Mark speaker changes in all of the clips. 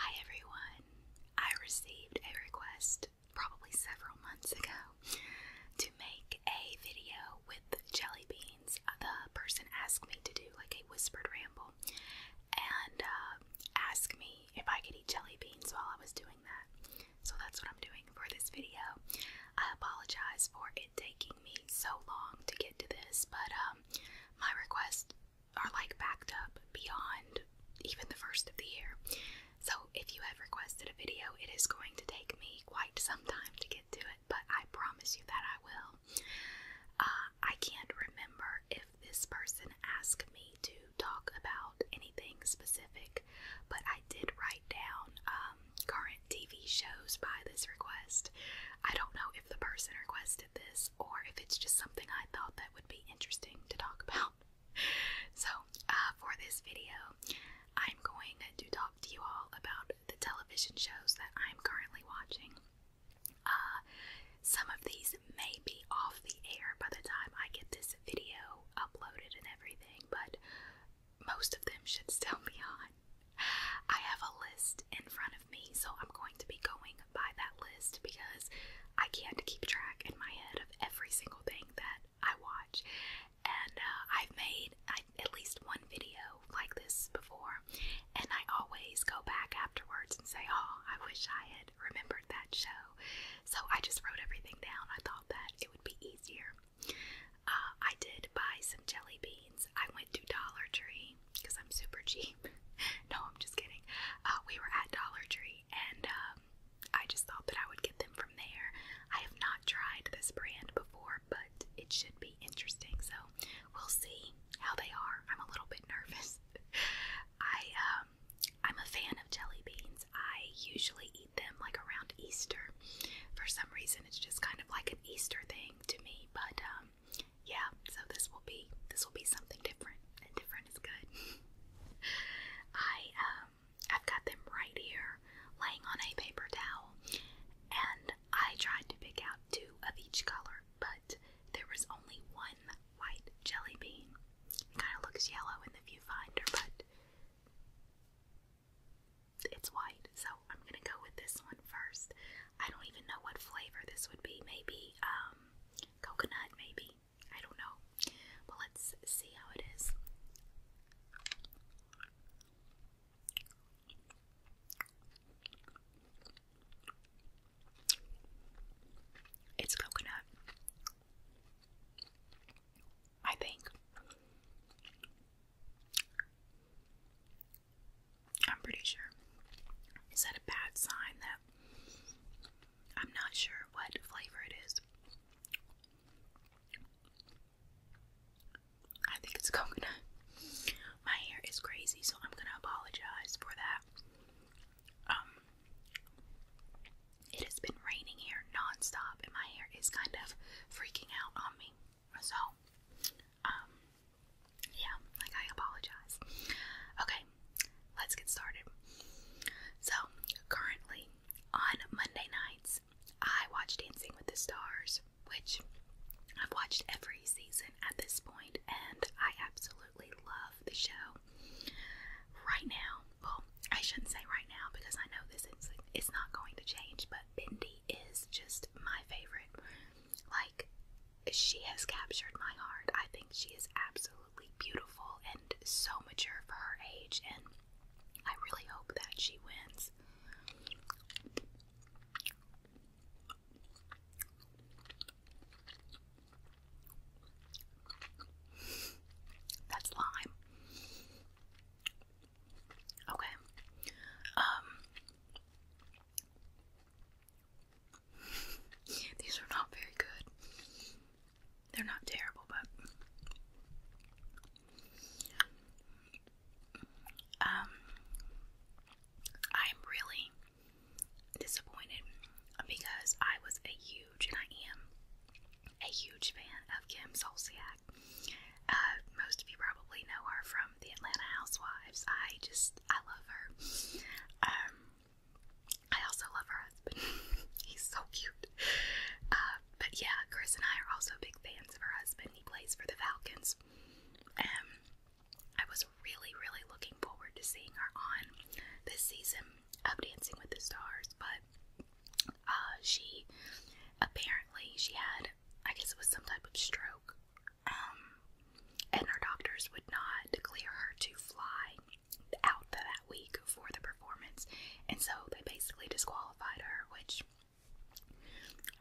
Speaker 1: Hi everyone. I received a request probably several months ago to make a video with jelly beans. The person asked me to do like a whispered ramble and uh, asked me if I could eat jelly beans while I was doing that. So that's what I'm doing for this video. I apologize for it taking me so long to get to this, but um, my request are like backed up beyond even the first of the year. So if you have requested a video, it is going to take me quite some time to get to it, but I promise you that I will. Uh, I can't remember if this person asked me to talk about anything specific, but I did write down um, current TV shows by this request. I don't know if the person requested this or if it's just something I thought that would be interesting to talk about. So, uh, for this video, I'm going to talk to you all about the television shows that I'm currently watching. Uh, some of these may be off the air by the time I get this video uploaded and everything, but most of them should still be on. I have a list in front of so I'm going to be going by that list because I can't keep track in my head of every single thing that I watch. And uh, I've made at least one video like this before, and I always go back afterwards and say, Oh, I wish I had remembered that show. So I just wrote everything down. I thought that it would be easier. Uh, I did buy some jelly beans. I went to Dollar Tree because I'm super cheap. no, I'm just kidding. Uh, we were at Dollar Tree and um, I just thought that I would get them from there. I have not tried this brand before, but it should be interesting. So we'll see how they are. I'm a little bit nervous. I um, I'm a fan of jelly beans. I usually eat them like around Easter. For some reason, it's just kind of like an Easter thing to me. But um, yeah, so this will be this will be something different, and different is good. I um I've got them right here, laying on a paper towel, and I tried to pick out two of each color, but there was only one white jelly bean. It kind of looks yellow in the viewfinder, but it's white, so I'm gonna go with this one first. I don't even know what flavor this would be. Maybe um Coconut, maybe? I don't know. But let's see how it is. It's coconut. I think. I'm pretty sure. Is that a bad sign, I'm not sure what flavor it is. I think it's coconut. My hair is crazy, so I'm gonna apologize for that. Um, it has been raining here nonstop, and my hair is kind of freaking out on me. So, um, yeah, like I apologize. Okay, let's get started. So, currently on Monday nights, I watch Dancing with the Stars, which I've watched every season at this point, and I absolutely love the show. Right now, well, I shouldn't say right now because I know this is it's not going to change, but Bindi is just my favorite. Like, she has captured my heart. I think she is absolutely beautiful and so mature for her age, and I really hope that she wins. That's lime. Okay. Um these are not very good. They're not terrible, but um I'm really disappointed because I was a huge and I am a huge fan of Kim Solsiak. Uh, most of you probably know her from the Atlanta Housewives. I just I love her. Um I also love her husband. He's so cute. Uh, but yeah, Chris and I are also big fans of her husband. He plays for the Falcons. Um, I was really, really looking forward to seeing her on this season of Dancing with the Stars, but uh, she apparently she had, I guess it was some type of stroke um, and her doctors would not clear her to fly out that week for the performance, and so they basically disqualified her, which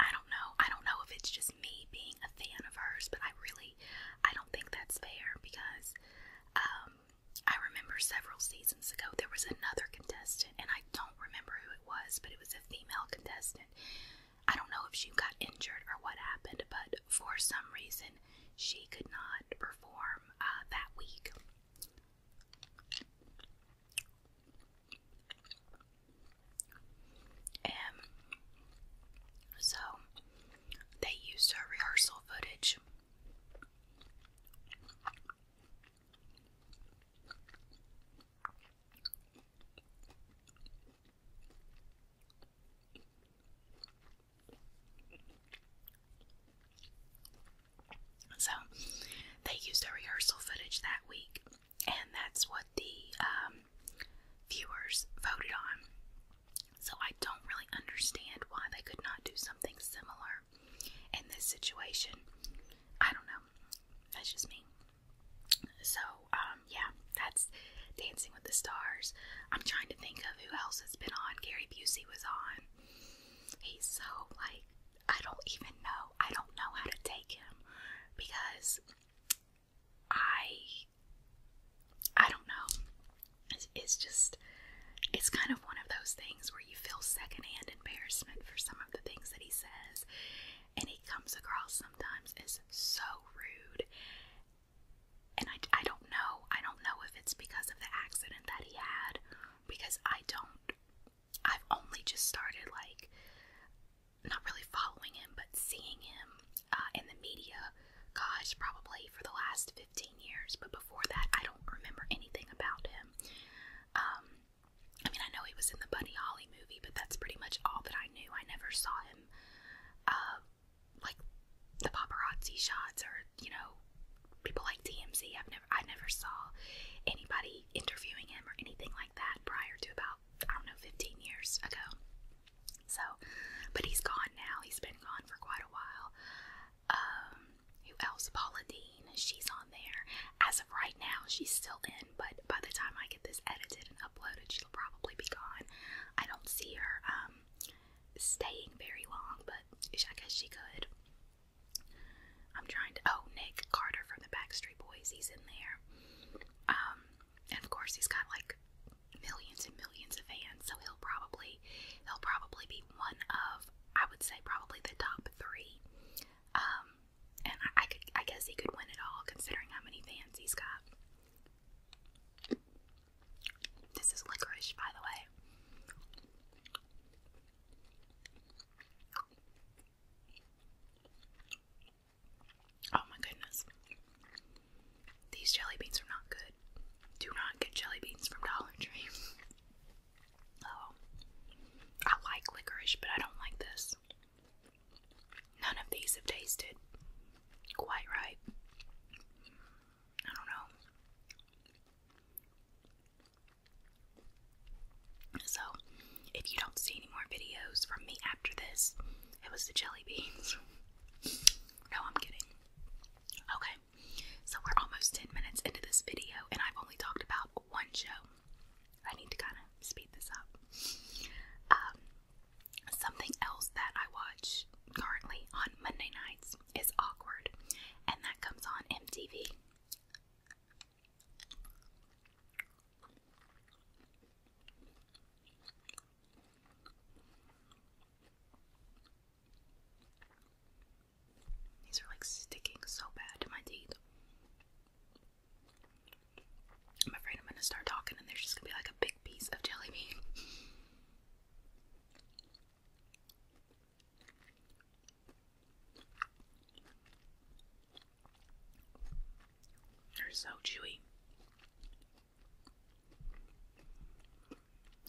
Speaker 1: I don't know. I don't know if it's just me being a fan of hers, but I really I don't think that's fair because um I remember several seasons ago there was another contestant and I don't remember who it was, but it was a female contestant. I don't know if she got injured or what happened, but for some reason she could not perform uh, that week. And um, so they used her rehearsal footage. So they used rehearsal footage that week, and that's what the um, viewers voted on. So I don't really understand why they could not do something similar in this situation. I don't know. That's just me. So, uh, um, yeah, that's Dancing with the Stars. I'm trying to think of who else has been on. Gary Busey was on. He's so like I don't even know. I don't know how to take him because I I don't know. It's, just it's kind of one of those things where you feel secondhand embarrassment for some of the things that he says, and he comes across sometimes is so rude and I, I don't know. I don't know if it's because of the accident that he had, because I don't. I've only just started, like, not really following him, but seeing him uh, in the media, gosh, probably for the last 15 years. But before that, I don't remember anything about him. Um, I mean, I know he was in the Buddy Holly movie, but that's pretty much all that I knew. I never saw him uh, like the paparazzi shots or you know people like TMZ. I've never I never saw anybody interviewing him or anything like that prior to about I don't know 15 years ago. So, but he's gone now. He's been gone for quite a while. Um, who else? Paula Dean. She's on there as of right now. She's still in, but by the time I get this edited and uploaded, she'll probably be gone. I don't see her. Um, staying very long, but I guess she could. I'm trying to. Oh, Nick Carter from the Backstreet Boys, he's in there. Um, and of course he's got like millions and millions of fans, so he'll probably he'll probably be one of I would say probably the top three. Um, and I, could I guess he could win it all considering how many fans he's got. This is licorice, by the way. Oh my goodness. These jelly beans are not good. Do not get jelly beans from Dollar Tree. oh. I like licorice, but I don't like this. None of these have tasted quite right. I don't know. So, if you don't see any more videos from me after this, it was the jelly beans. no, I'm kidding. Okay, so we're almost 10 minutes into this video, and I've only talked about one show. I need to kind of speed this up. Um, Something else that I watch currently on Monday nights is Awkward, and that comes on MTV. These are like sticking so bad to my teeth. I'm afraid I'm gonna start talking and there's just gonna be like a big piece of jelly bean. They're so chewy.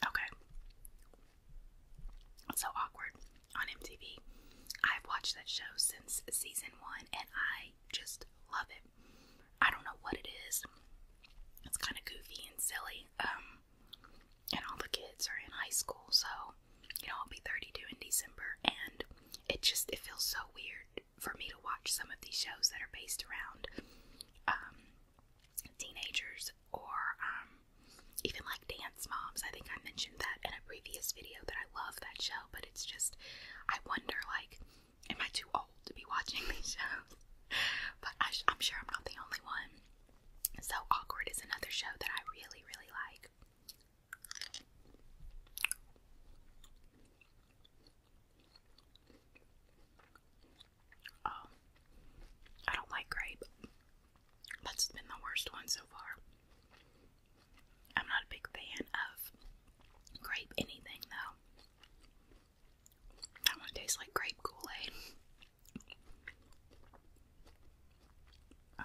Speaker 1: Okay. so awkward on MTV. I've watched that show since season one and I I just love it. I don't know what it is. It's kind of goofy and silly. Um, and all the kids are in high school, so you know I'll be 32 in December, and it just it feels so weird for me to watch some of these shows that are based around um, teenagers or um, even like Dance Moms. I think I mentioned that in a previous video that I love that show, but it's just I wonder like Am I too old to be watching these shows? But I am sure I'm not the only one. So Awkward is another show that I really, really like. Oh, I don't like grape. That's been the worst one so far. I'm not a big fan of grape anything though. That one tastes like grape Kool Aid. Um,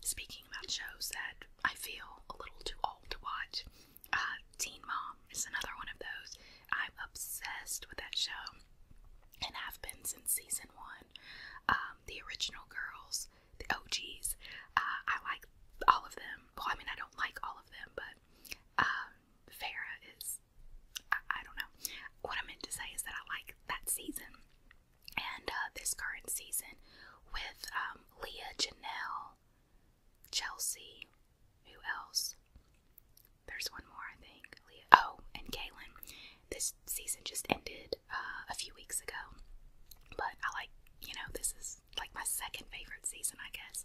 Speaker 1: speaking about shows that I feel a little too old to watch, uh, Teen Mom is another one of those. I'm obsessed with that show and i have been since season one. Um, the original girls, the OGs, uh, I like all of them. Well, I mean, I don't like all of them, but um, Farah is, I, don't know. What I meant to say is that I like that season and uh, this current season with um, Leah, Janelle, Chelsea, who else? There's one more, I think. Leah. Oh, and Kaylin. This season just ended uh, a few weeks ago, but I like, you know, this is like my second favorite season, I guess.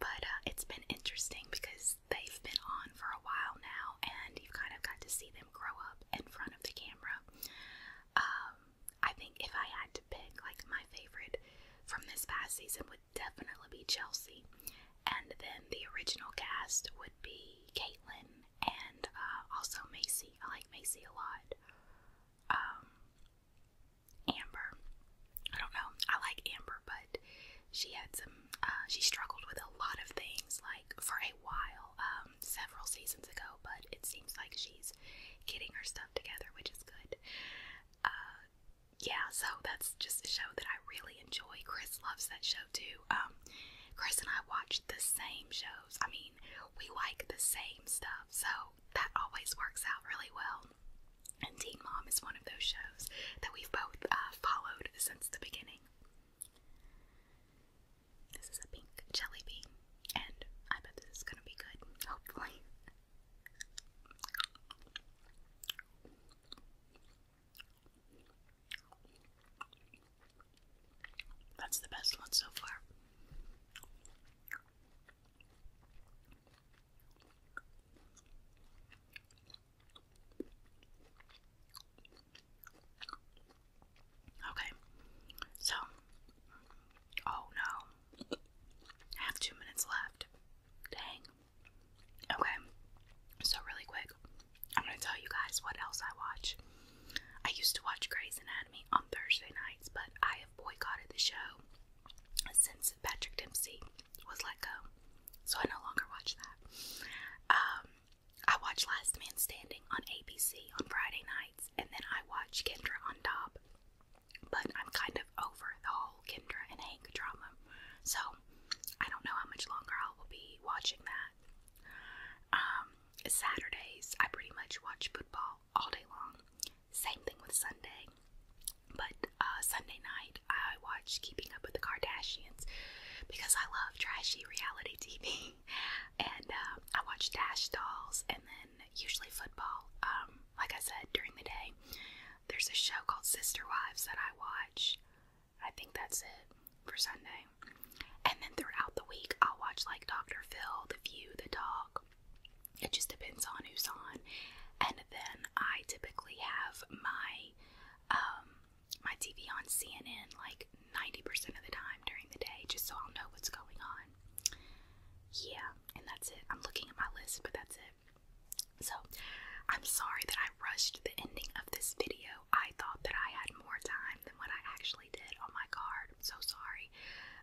Speaker 1: But uh, it's been interesting because they've been on for a while now, and you've kind of got to see them grow up in front of the camera. Um, I think if I had to pick, like, my favorite from this past season would definitely be Chelsea, and then the original cast would be Caitlin and uh, also Macy. I like Macy a lot. Um, Amber. I don't know. I like Amber, but she had some. Uh, she struggled with a lot of things, like for a while, um, several seasons ago. But it seems like she's getting her stuff together, which is good. Uh, yeah, so that's just a show that I really enjoy. Chris loves that show too. Um, Chris and I watch the same shows. I mean, we like the same stuff, so that always works out really well. And Teen Mom is one of those shows that we've both uh, followed since the beginning. This is a pink jelly bean, and I bet this is gonna be good, hopefully. That's the best one so far. Okay, so, oh no, I have two minutes left. Dang. Okay, so really quick, I'm gonna tell you guys what else I watch. I used to watch Grey's Anatomy on Thursday nights, but I have boycotted the show since Patrick Dempsey was let go, so I no longer watch that. Um, I watch Last Man Standing on ABC on Friday nights, and then I watch Kendra on Top but I'm kind of over the whole Kendra and Hank drama. So I don't know how much longer I will be watching that. Um, Saturdays, I pretty much watch football all day long. Same thing with Sunday. But uh, Sunday night, I watch Keeping Up with the Kardashians because I love trashy reality TV. and um, I watch Dash Dolls and then usually football, um, like I said, during the day. There's a show called Sister Wives that I watch. I think that's it for Sunday. And then throughout the week, I'll watch like Dr. Phil, The View, The Talk. It just depends on who's on. And then I typically have my um, my TV on CNN like 90% of the time during the day, just so I'll know what's going on. Yeah, and that's it. I'm looking at my list, but that's it. So, I'm sorry that I rushed the ending of this video. I thought that I had more time than what I actually did on my card. I'm so sorry.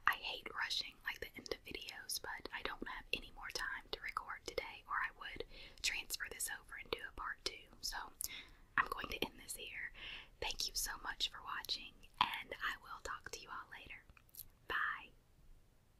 Speaker 1: I hate rushing like the end of videos, but I don't have any more time to record today, or I would transfer this over and do a part two. So, I'm going to end this here. Thank you so much for watching, and I will talk to you all later. Bye.